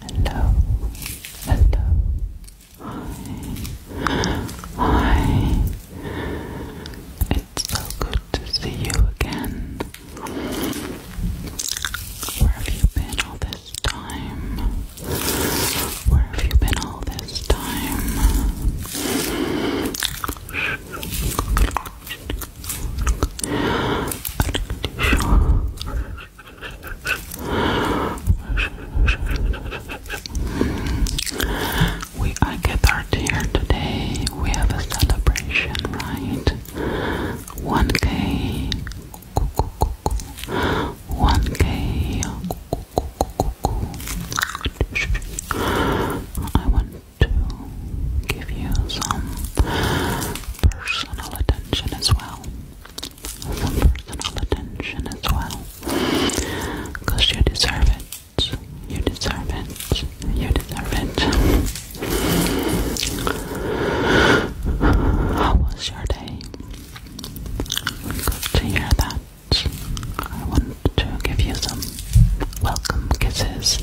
Hello, hello, hi, hi. It's so good to see you again. Where have you been all this time? Where have you been all this time? We are gathered here today. We have a celebration, right? 1K. 1K. I want to give you some personal attention attention as well. personal attention as well. Because you deserve it. You deserve it. You deserve it. How was your day? Good to hear that. I want to give you some welcome kisses.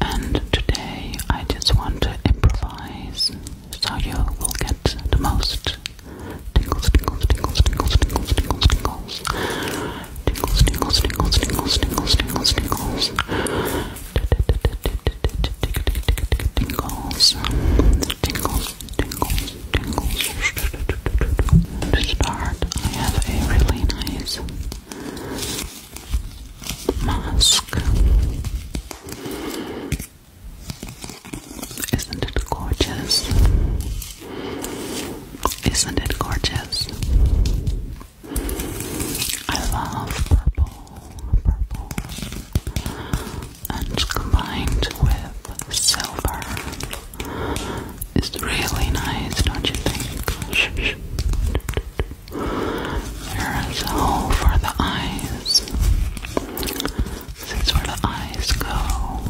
And today I just want to improvise so you will get the most tingles, tingles, tingles, tingles, tingles, tingles, tingles, tingles, tingles, tingles, tingles, tingles, tingles, tingles, tingles, tingles, tingles, tingles. To start, I have a really nice mask. Isn't it gorgeous? Isn't it gorgeous? I love purple, purple, and combined with silver is really nice, don't you think? There is a hole for the eyes. That's where the eyes go.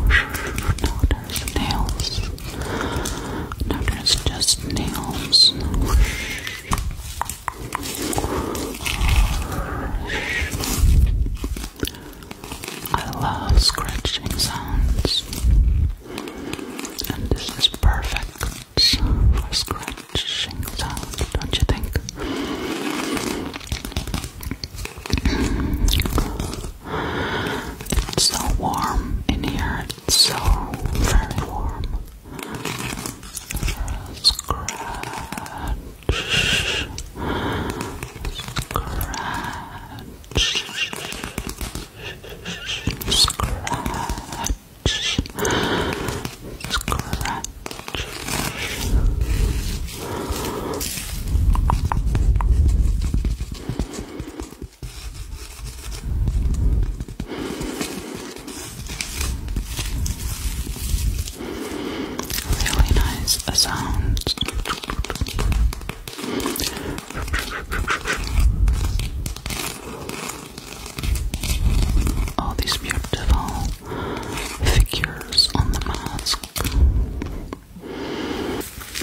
Notice nails. Notice just nails. I love scratching sounds, and this is perfect for scratching crunching sound, don't you think? It's so warm in here, it's so very warm. Scratch, scratch. Scratch, scratch. Really nice sounds all these beautiful figures on the mask.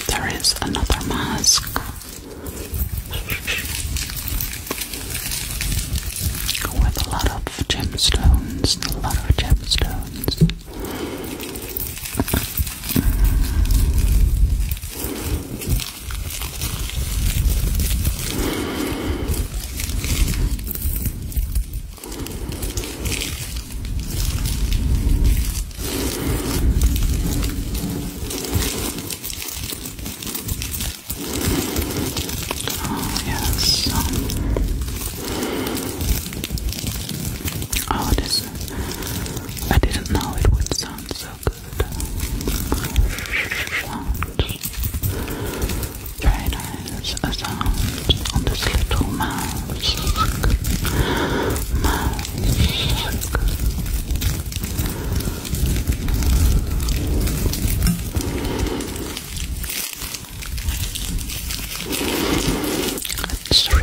There is another mask. With a lot of gemstones, a lot of gemstones. Oh, yes. Oh, this. I didn't know it would sound so good. It's really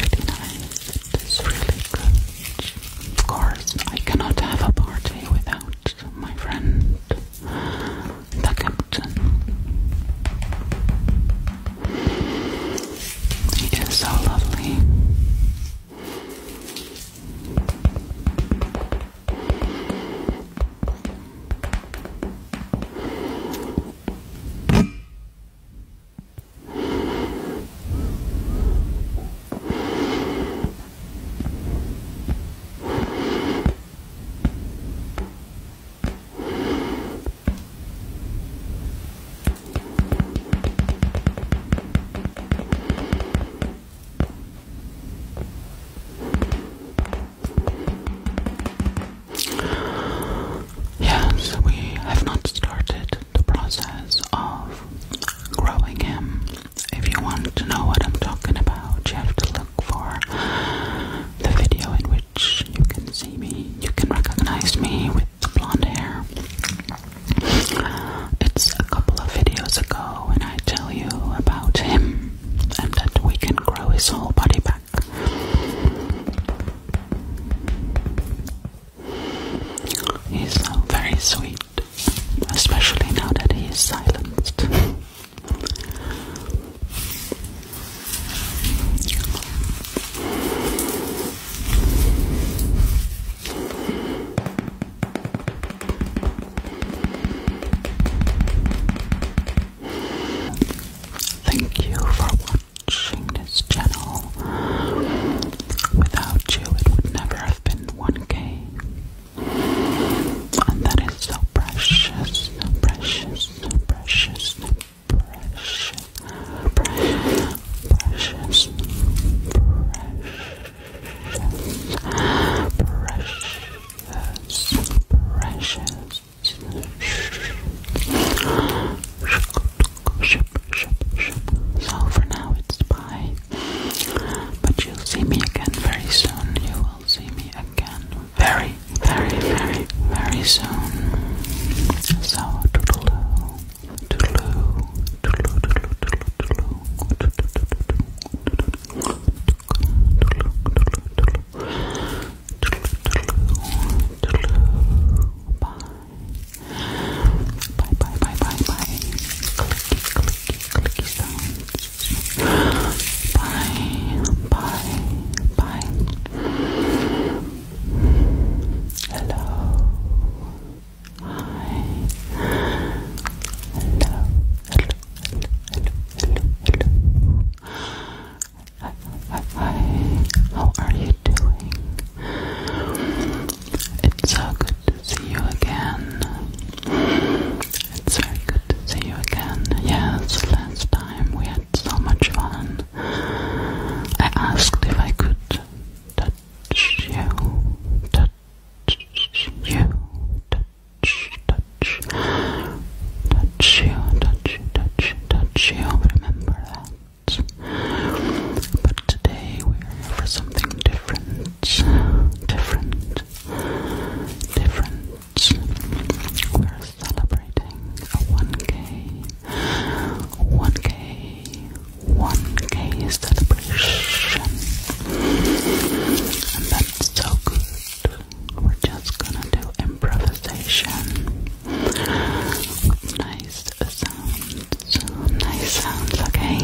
nice. It's really good. Of course, I cannot have a party without my friend the captain. He is so lovely. Yes, we have not started the process of growing him. If you want to know what I'm talking about, you have to look look for the video in which you can see me, you can recognize me with the blonde hair. It's a couple of videos ago, and I tell you about him and that we can grow his whole body back. He's so very sweet, especially now that he is silenced. Thank you for watching this channel. Without you, it would never have been 1K. And that is so precious, so precious, precious, precious, precious, precious, precious, precious, precious. So for now it's bye. But you'll see me again very soon. You will see me again very, very, very, very soon. So, toodaloo, toodaloo, toodaloo, toodaloo, toodaloo, toodaloo, toodaloo, toodaloo, toodaloo, bye. Bye, bye, bye, bye, bye. Clicky, clicky, clicky sounds. Bye, bye, bye. Hello. Hi. Hello. Hello. Hello. Hello. hi. How are you doing? It's so good to see you again. It's very good to see you again. Yes, last time we had so much fun. I asked if I could touch you, touch you, touch, touch, touch you, touch you, touch, touch you. Remember that. But today we're here for something different, different, different we're celebrating a 1K, 1K, 1K celebration. And that's so good. We're just gonna do improvisation nice sounds. Nice sounds, okay?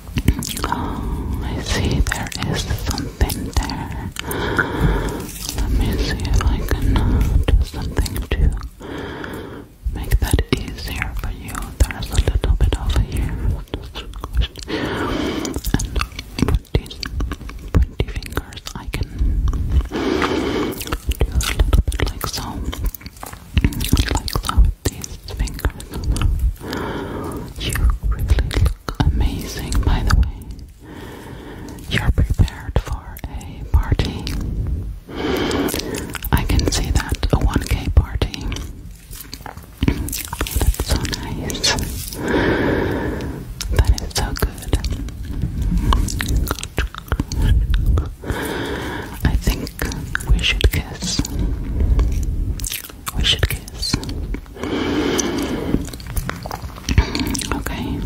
Oh, I see there is something there. Let me see if I can do something to make that easier for you. There's a little bit over here. and with these pointy fingers, I can do a little bit like so. Like so with these fingers. You really look amazing, by the way. You're prepared for a party. I can see that a 1K party. that's so nice. That is so good. I think we should kiss. We should kiss. Okay.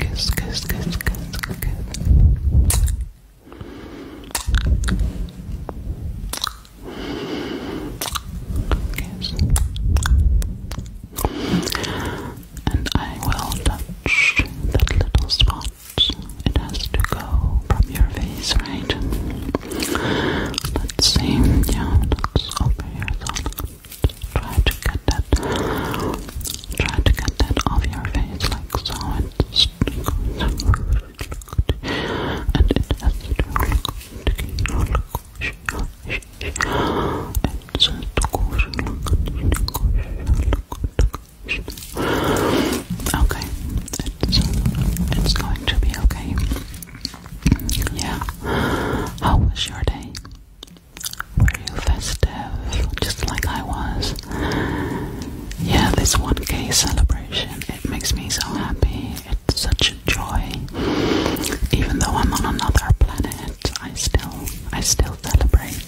Kiss, kiss, kiss, kiss, kiss. And I will touch that little spot. It has to go from your face, right? Let's see. Yeah, let's over here. try to get that. Try to get that off your face, like so and okay it's, it's going to be okay yeah how was your day? Were you festive, just like I was? yeah, this 1k celebration, it makes me so happy. It's such a joy. Even though I'm on another planet, I still I still celebrate.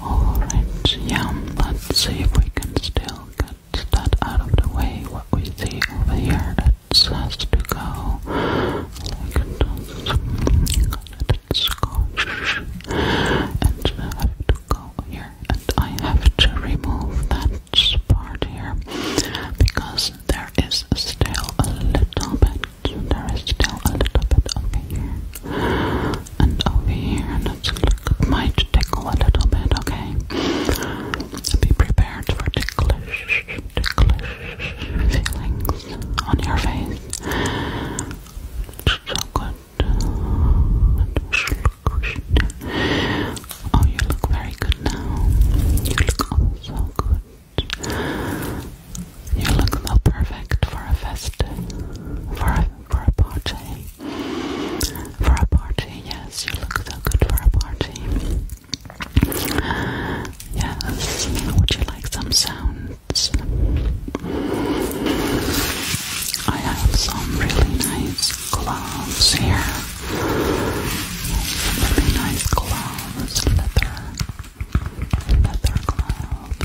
Alright, yeah, let's see if we can still get it's that out of the way what we see over here that has to go. Like that it's scotch. And I have to go here. And I have to remove that part here because there is still a little bit. There is still a little bit over here and over here. it might tickle a little bit, okay? Be prepared for ticklish, ticklish feelings on your face. So good. Oh, you look very good now. You look oh, so good. You look so perfect for a festive, for a, for a party. For a party, yes, you look so good for a party. Yes, would you like some sounds? I have some really nice gloves here. Some really nice gloves, leather, leather gloves.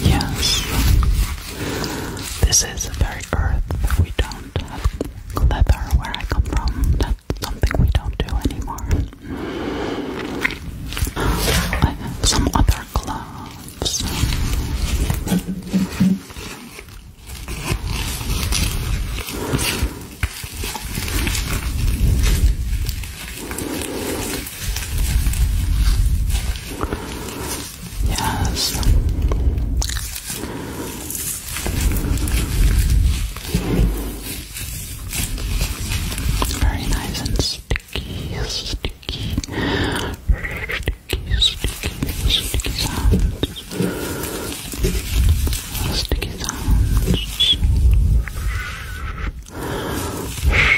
Yes. This is a very earth. We don't have leather where I come from. That's something we don't do anymore. some other gloves. Yes. Very nice and sticky, sticky, sticky, sticky, sounds. Sticky sounds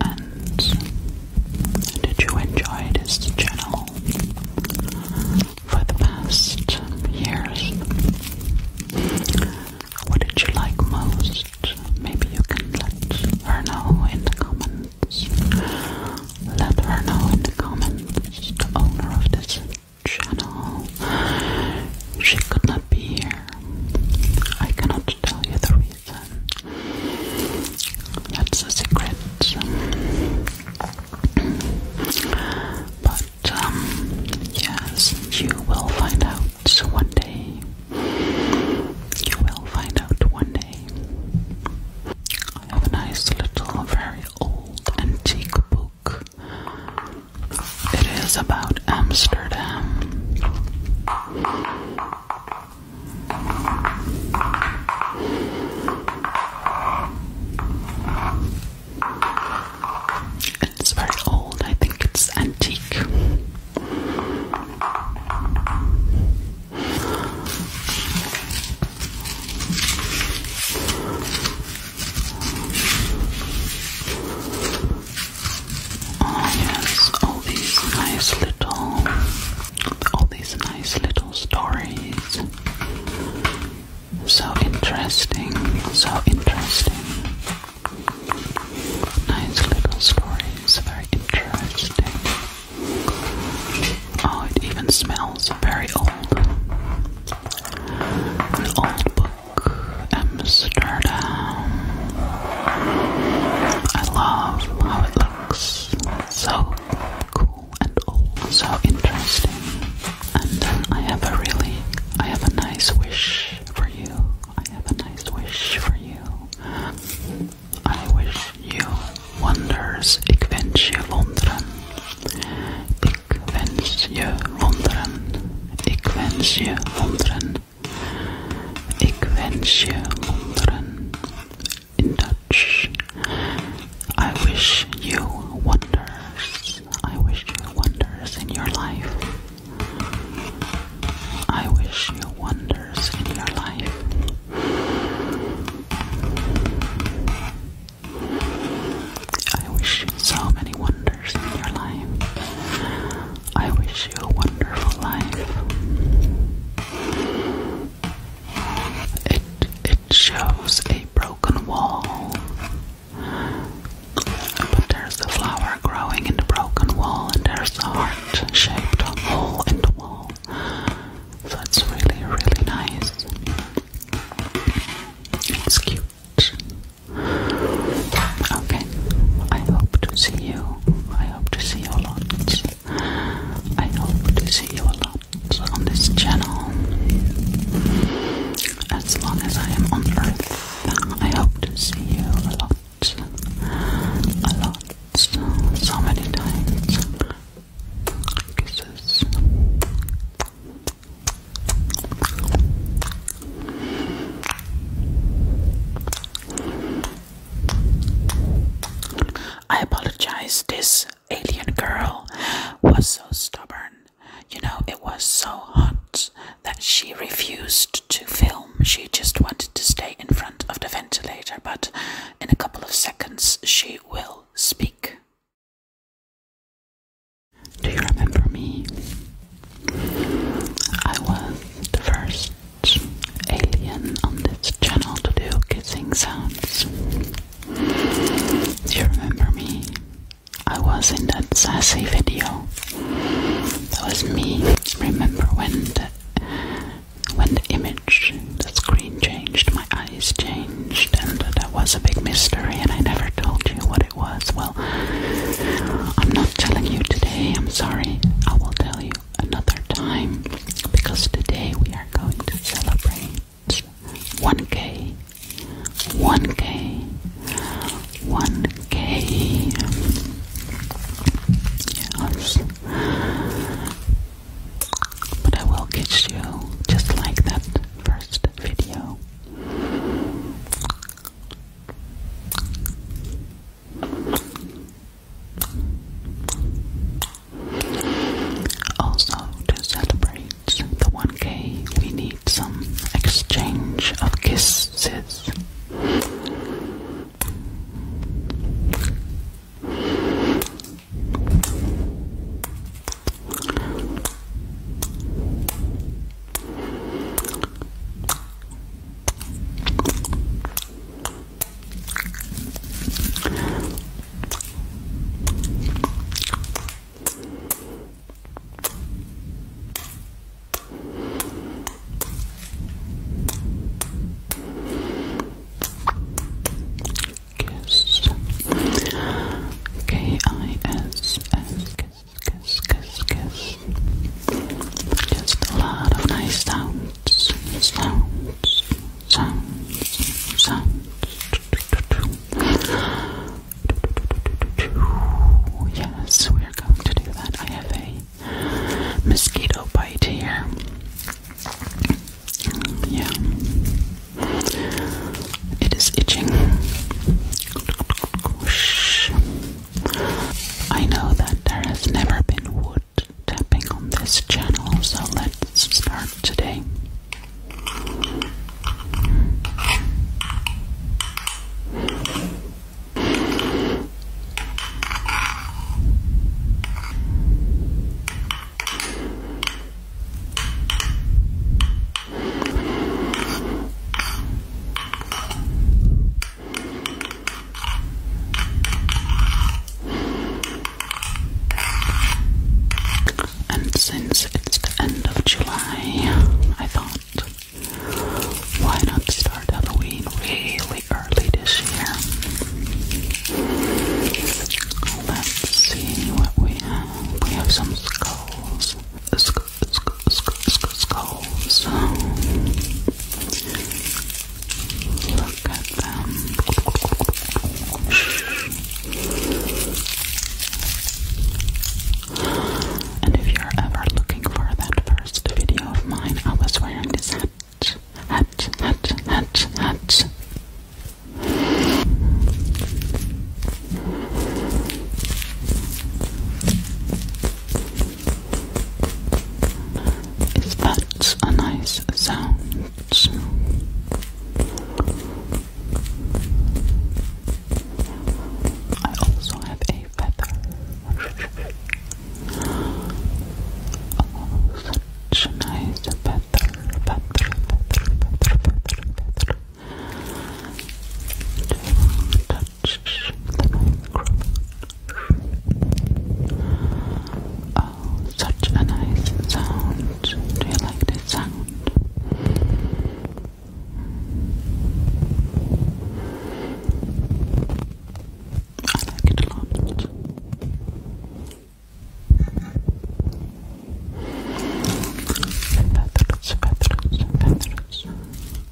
and did you enjoy this channel for the past years? What did you like most? Maybe you can let her know in the comments. Let her know in the comments, the owner of this channel. She could not be here. I cannot tell you the reason. That's a secret. But um, yes, you will find out one day. You will find out one day. I have a nice little, very old antique book it is about Amsterdam. It's very old, I think it's antique. Oh yes, all these nice little, all these nice little stories. So interesting, so interesting. Nice little stories, very interesting. Oh, it even smells very old. An old book. Amsterdam. I love how it looks. so cool and old, so interesting. And then I have a really, I have a nice wish for you. I have a nice wish for you. I wish you wonders. Ik wens je wonderen. Ik wens je wonderen. Ik wens je wonderen. Ik wens je wonderen. In Dutch, I wish you wonders. I wish you wonders in your life. I wish you wonders in your life. I wish so many wonders in your life. I wish you a wonderful life. It it shows a broken wall. But there's the flower growing in the broken wall and there's the heart shaped hole in the wall. So really really nice. It's cute. Okay. I hope to see you. I hope to see you a lot. I hope to see you a lot on this channel. As long as I am on earth, I hope to see you a lot. A lot. So many times. Kisses. I apologize, this alien girl was so stubborn. You know, it was so hot that she refused to film. She just wanted to stay in front of the ventilator, but in a couple of seconds she will speak. Do you remember me? I was the first alien on this channel to do kissing sounds. Do you remember me? I was in that sassy video. That was me. Remember when the when the image, the screen changed, my eyes changed, and that was a big mystery, and I never told you what it was. Well, I'm not telling you today, I'm sorry. I will tell you another time because today we are going to celebrate 1K. 1K. 1K. Yes. But I will get you just like that first video. Also, to celebrate the 1K, we need some exchange of kisses. Kiss. K I S S kiss kiss, kiss, kiss. Just a lot of nice sounds, sounds, sounds, sounds. Yes, we are going to do that. I have a mosquito bite here. Yeah, it is itching. Whoosh. I know that there has never been wood tapping on this channel, so let's start today. And since it's the end of July, I thought, why not start Halloween really early this year? Let's see what we We have some skulls skulls. Look at them. And if you're ever looking for that first video of mine, I was wearing this hat. Hat, hat, hat, hat. If that's a nice sound. I also have a feather. Oh, such a nice feather. Oh, such a nice sound. Do you like this sound? I like it a lot. Feathers, feathers, feathers.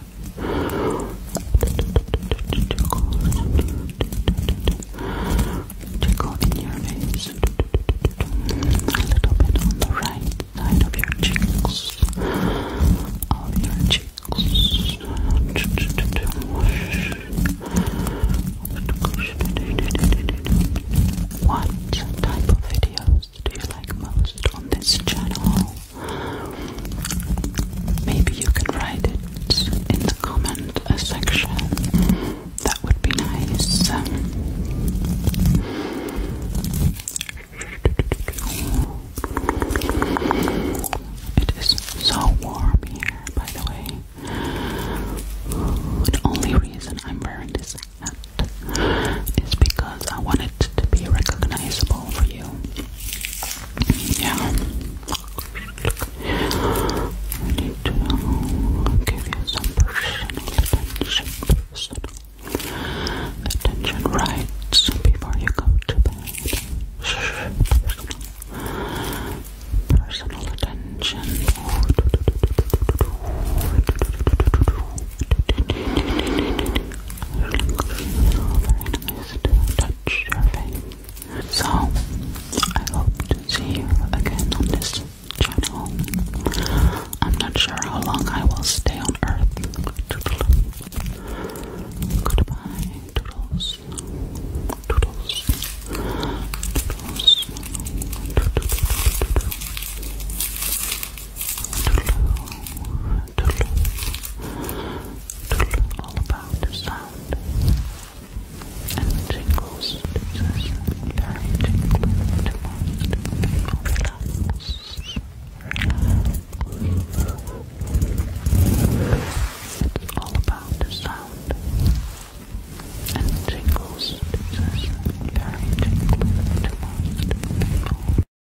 Tickle in your face. A little bit on the right side of your cheeks. Of your cheeks. What type of videos do you like most on this channel? Maybe you can write it in the comment section. That would be nice. It is so warm here, by the way. The only reason I'm wearing this hat is because I want it to be recognizable for you. Yeah. need to give you some personal attention, right before you go to bed. personal attention. So, I hope to see you again on this channel. I'm not sure how long I will stay on Earth. Toodle. Goodbye, Toodles. Toodles. Toodles. Toodle. Toodle. Tulu, all about the sound and tingles. This is very tingling to It's all about the sound and tingles. This is very tingling to